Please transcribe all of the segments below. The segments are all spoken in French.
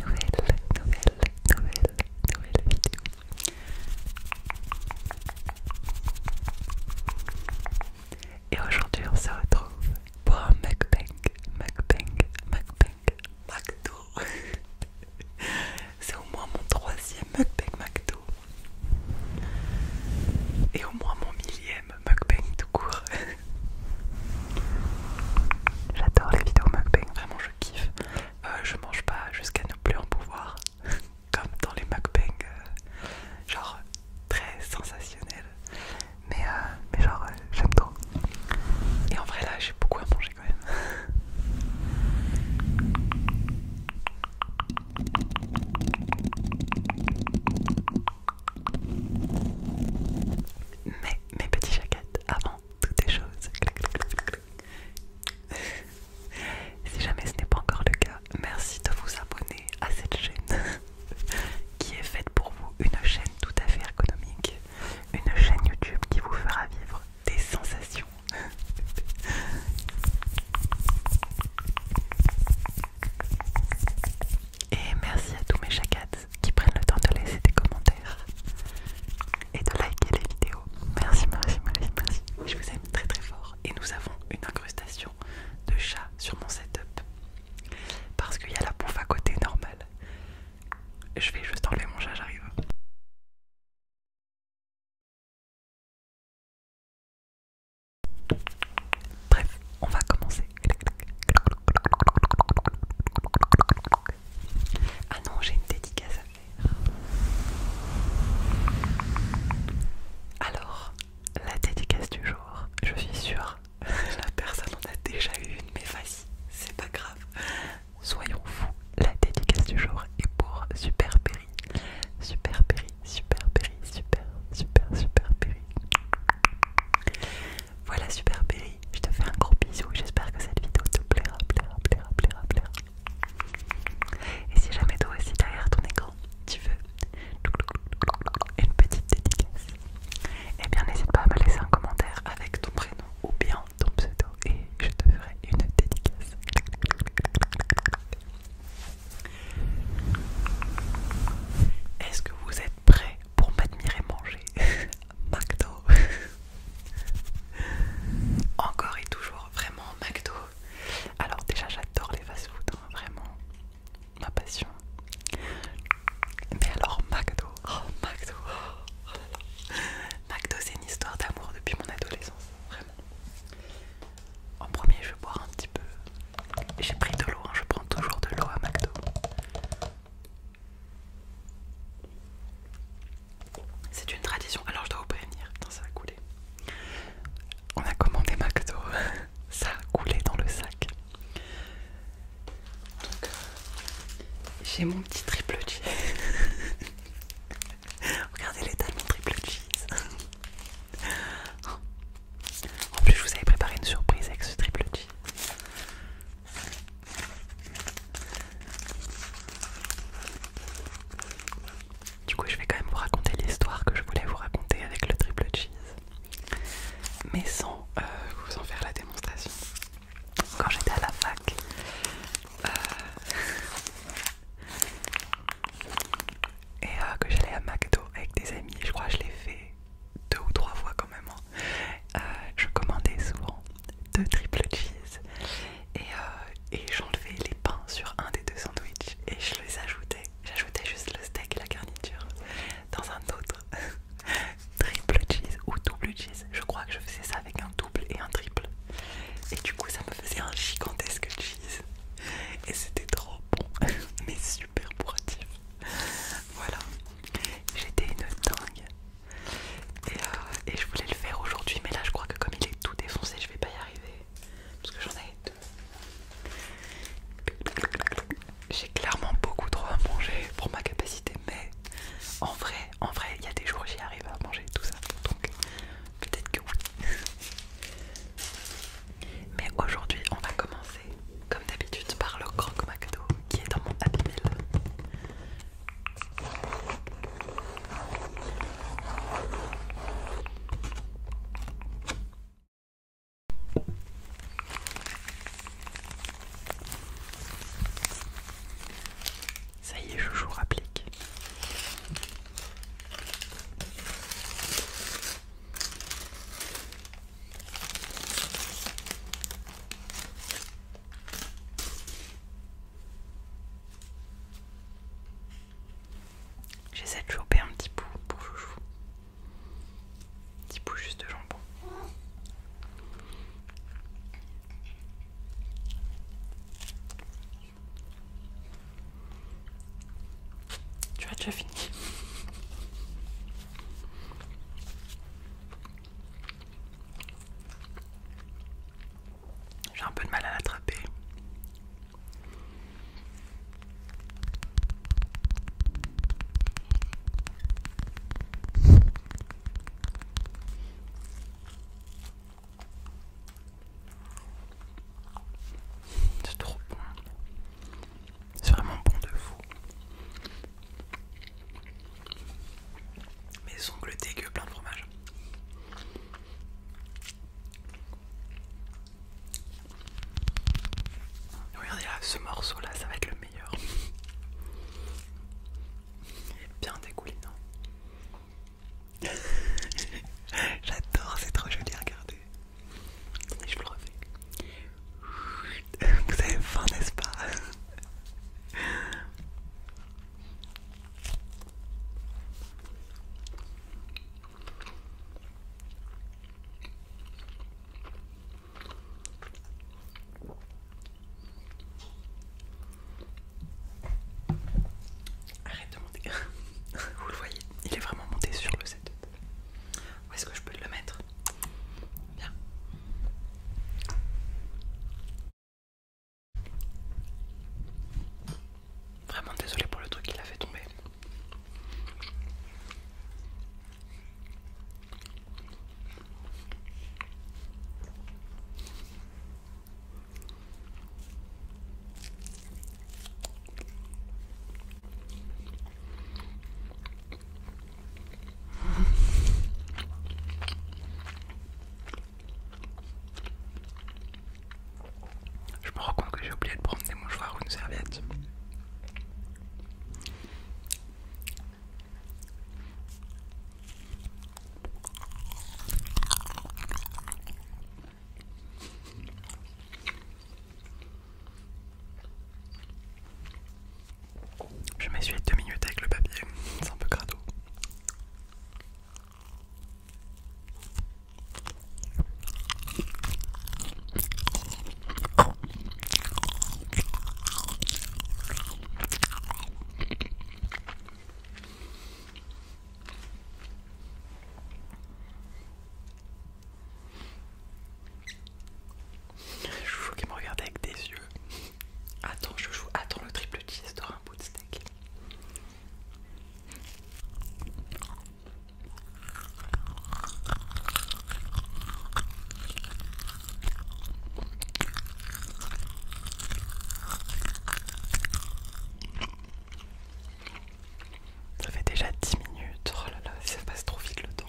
nouvelle, nouvelle, nouvelle, nouvelle vidéo. Et aujourd'hui, on se retrouve pour un mukbang, mukbang, mukbang, McDo. C'est au moins mon troisième mukbang McDo. Et au moins mon millième mukbang tout court. J'adore les vidéos mukbang, vraiment je kiffe. Euh, je mange pas jusqu'à ne plus en pouvoir, comme dans les mukbang, euh, genre très sensationnel. Mais, euh, mais genre, j'aime trop. Et en vrai, là, j'ai beaucoup à manger quand même. Mais mes petits jaquettes avant toutes les choses. si jamais ce n'est pas encore le cas, merci de vous abonner à cette chaîne qui est faite pour vous, une chaîne tout à fait économique, une chaîne YouTube qui vous fera vivre des sensations. Et merci à tous mes chacats qui prennent le temps de laisser des commentaires et de liker les vidéos. Merci, merci, merci, merci. Je vous aime très très fort. Et nous avons une incrustation de chat sur mon setup parce qu'il y a la bouffe à côté normale. Je vais juste enlever mon chat, j'arrive. Bref, on va commencer ah non, j'ai une dédicace à faire. Alors, la dédicace du jour, je suis sûre, la personne en a déjà eu une, mais vas-y, c'est pas grave. Soyons fous, la dédicace du jour est pour Super Perry. Super Perry, Super Perry, Super, Super, Super Perry. Voilà, super Berry, je te fais un gros bisou. J'espère que cette vidéo te plaira, plaira, plaira, plaira, plaira. Et si jamais toi aussi derrière ton écran, tu veux une petite dédicace, eh bien n'hésite pas à me laisser un commentaire avec ton prénom ou bien ton pseudo et je te ferai une dédicace. Est-ce que vous êtes prêts pour m'admirer manger McDo. Encore et toujours, vraiment McDo. Alors déjà j'adore les fast-food, hein, vraiment ma passion. Mais alors McDo, oh, McDo, oh, oh McDo c'est une histoire d'amour depuis mon adolescence, vraiment. En premier je bois un petit peu. J'ai pris de l'eau, hein, je prends toujours de l'eau à McDo. C'est une tradition. Alors je dois vous prévenir. ça a coulé. On a commandé McDo. ça a coulé dans le sac. Euh, j'ai mon petit triple cheese. Regardez l'état de mon triple cheese. en plus je vous avais préparé une surprise avec ce triple cheese. Du coup, je vais quand même vous raconter l'histoire que je voulais vous raconter avec le triple cheese, mais sans euh, vous en faire la démonstration. Quand j'étais à la fac, euh, et euh, que j'allais à McDo avec des amis, je crois que je l'ai fait deux ou trois fois quand même. Hein. Euh, je commandais souvent deux triple cheese euh, et, j'enlevais les pains sur un des deux sandwichs et je les ajoutais. J'ajoutais juste le steak et la garniture dans un autre triple cheese ou double cheese. Je crois que je faisais ça avec un double et un triple. Et du coup, ça me faisait un gigantesque cheese. Et c'était trop bon, mais super pouratif Voilà, j'étais une dingue. Euh, et, je voulais le faire aujourd'hui, mais là je crois que comme il est tout défoncé, je vais pas y arriver. Parce que j'en ai deux. J'ai clairement beaucoup trop à manger pour ma capacité, mais en vrai, en vrai, il y a des jours j'y arrive à manger tout ça. Donc peut-être que oui. Mais aujourd'hui, on va commencer comme d'habitude par le croque Macdo qui est dans mon habit Ça y est, je vous applique. J'essaie de choper un petit bout pour chouchou. petit bout juste de jambon. Tu as déjà fini. J'ai un peu de mal à l'attraper. C'est trop bon. C'est vraiment bon de vous. Mes ongles que plein de fromage. Regardez là, ce morceau là, ça va être le meilleur. Il est bien dégoulinant. J'adore, c'est trop joli à regarder. Et je vous le refais. Vous avez faim, n'est-ce pas Arrête de monter. Vous le voyez, il est vraiment monté sur le set. Où est-ce que je peux le mettre Vraiment désolé pour le truc qu'il a fait tomber. Je me rends compte que j'ai oublié de prendre des mouchoirs ou une serviette. Je m'essuie 2 minutes avec le papier, c'est un peu crado. Joujou qu'il me regarde avec des yeux. Attends, joue. attends le triple cheese t'auras un bout de steak. Ça fait déjà 10 minutes, oh là là, ça passe trop vite le temps.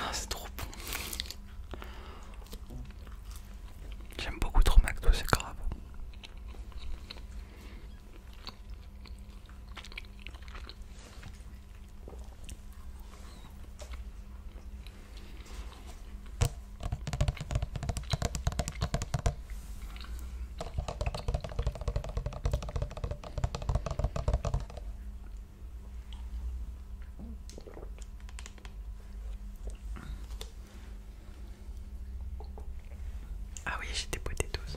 Ah, c'est trop bon. J'aime beaucoup trop McDo, c'est grave. Ah oui, j'ai des tous.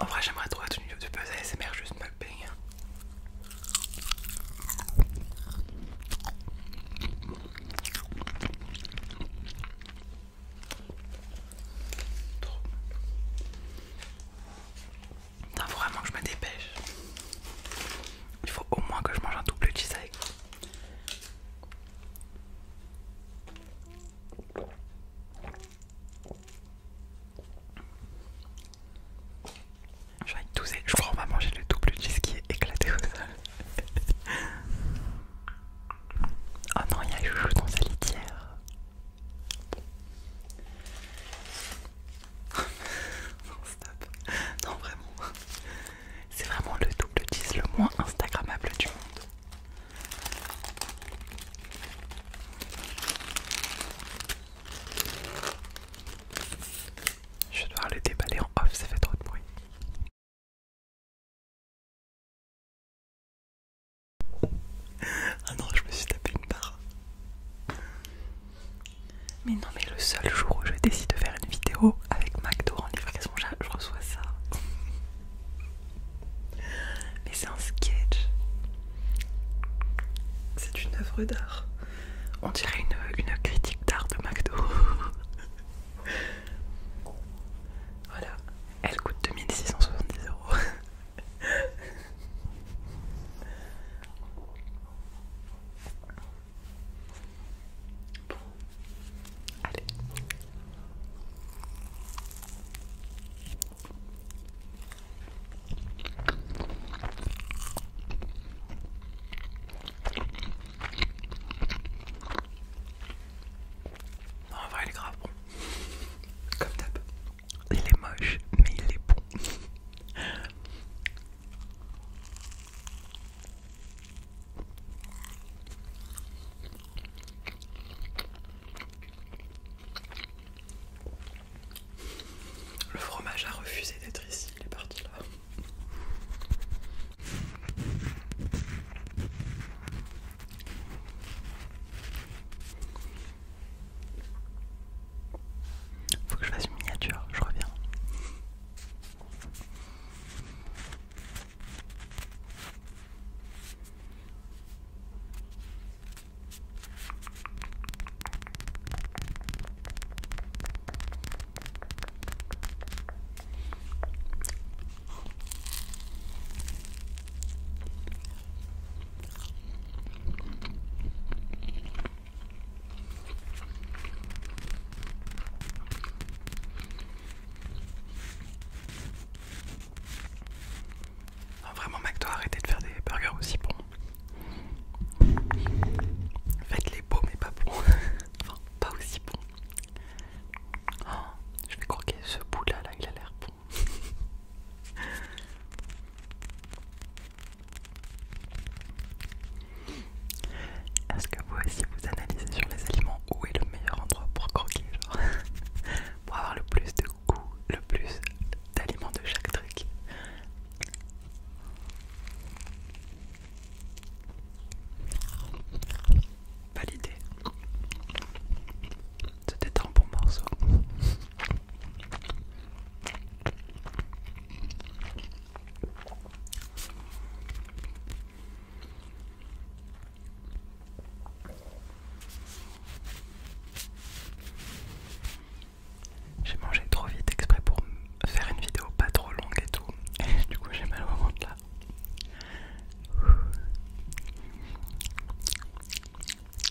En vrai, j'aimerais trop être une vidéo de buzz ASMR juste mal payer. Il faut vraiment que je me dépêche. Il faut au moins que je mange un double cheese avec. Je vais tousser. Je crois qu'on va manger le double cheese qui est éclaté au sol. oh non, il y a Joujou dans sa litière. non, stop. Non, vraiment. C'est vraiment le double 10 le moins Instagrammable du monde. Je vais devoir le déballer en off, ça fait trop de bruit. Ah non, je me suis tapé une barre. Mais non, mais le seul jour où je décide de faire une vidéo avec McDo en livraison, je reçois ça. Mais c'est un sketch. C'est une œuvre d'art. On dirait une, une critique d'art de McDo. voilà, elle coûte 2670 euros. allez. Non, va Comme d'hab. Il est moche, mais il est bon. Le fromage a refusé d'être ici, il est parti là. Faut que je fasse une miniature, je reviens. Ah, vraiment, Mac doit arrêter de faire des burgers aussi bons. Faites-les beaux, mais pas bons. enfin, pas aussi bons. Oh, je vais croquer ce bout là, là il a l'air bon. Est-ce que vous aussi vous analysez sur les aliments où est le meilleur endroit pour croquer genre Pour avoir le plus de goût, le plus d'aliments de chaque truc Validé c'était un bon morceau. J'ai mangé trop vite exprès pour faire une vidéo pas trop longue et tout. du coup j'ai mal au ventre là.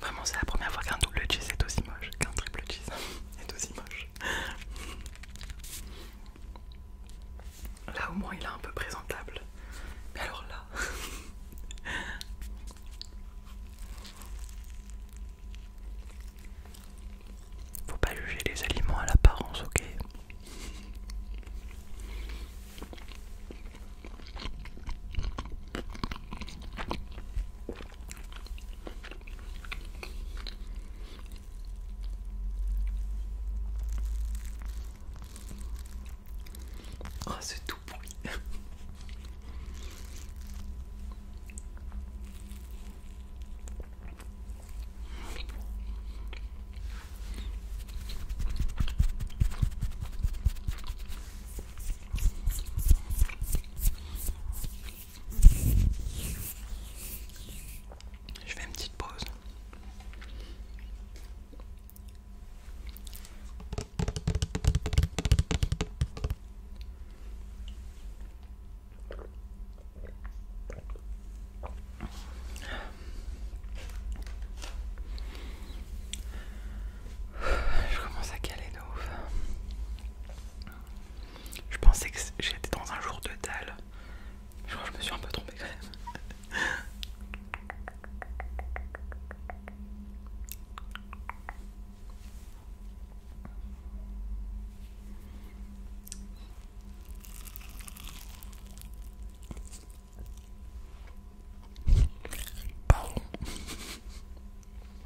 Vraiment, c'est la première fois qu'un double cheese est aussi moche, qu'un triple cheese est aussi moche. Là au moins il est un peu présentable. Mais alors là... Faut pas juger les aliments à l'apparence, ok Oh, c'est tout bruit. Je fais une petite pause. Je commence à caler de ouf. Je pensais que j'étais dans un jour de dalle. Je crois que je me suis un peu trompée quand même.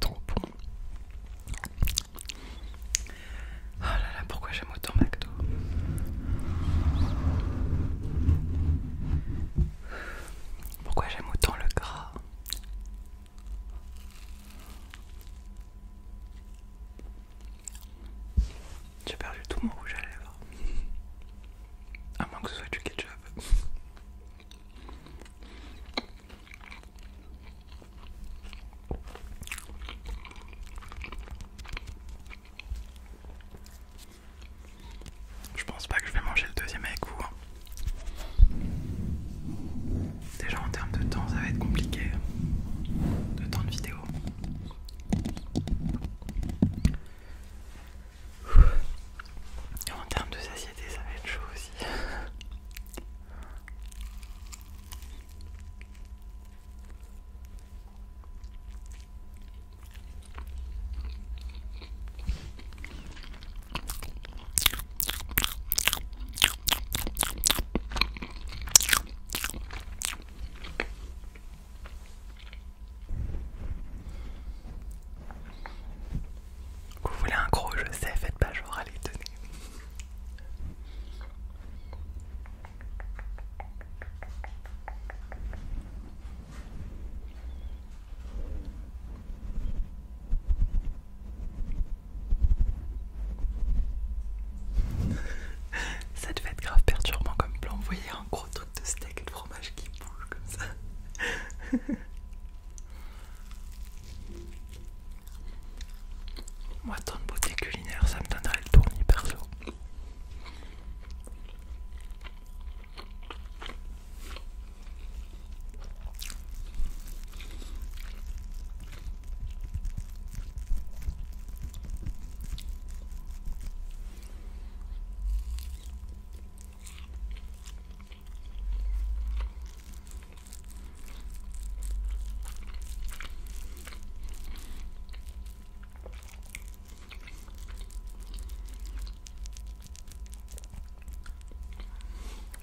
trop Oh là là, pourquoi j'aime autant McDo Pourquoi j'aime autant le gras J'ai perdu tout mon rouge à lèvres. À moins que ce soit du ketchup. Je pense pas que je vais manger le deuxième avec vous. Hein. Déjà en termes de temps ça va être compliqué. Hein, de temps de vidéo en termes de satiété, ça va être chaud aussi. Vous voulez un gros, je sais, faites pas genre, allez, tenez. Ça devait être grave perturbant comme plan. Vous voyez un gros truc de steak et de fromage qui bouge comme ça. Moi, tant de beauté culinaire, ça me donnerait le tournis perso.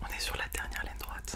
On est sur la dernière ligne droite.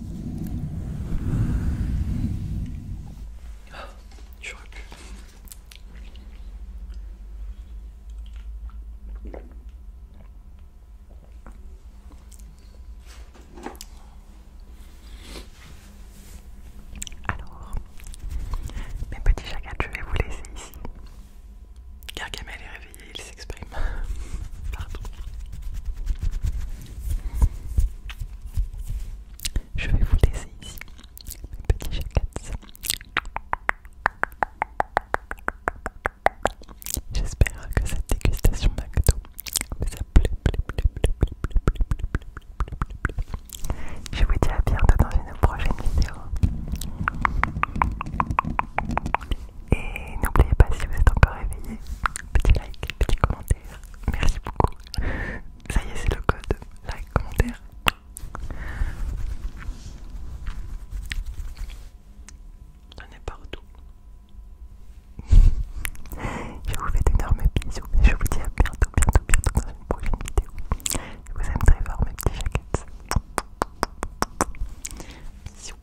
Alors, mes petits chagats, je vais vous laisser ici. Car Camel est réveillé, il s'exprime. Pardon. Je vais vous laisser ici, mes petits chacats. J'espère que cette dégustation McDo vous a plu. Je vous dis à bientôt dans une prochaine vidéo. Et n'oubliez pas si vous êtes encore réveillé, petit like, petit commentaire. Merci beaucoup. Ça y est, c'est le code. Like, commentaire. On est partout. je vous fais d'énormes bisous. Je vous dis à bientôt, bientôt, bientôt dans une prochaine vidéo. Je vous aime très fort, mes petits jaquettes Bisous.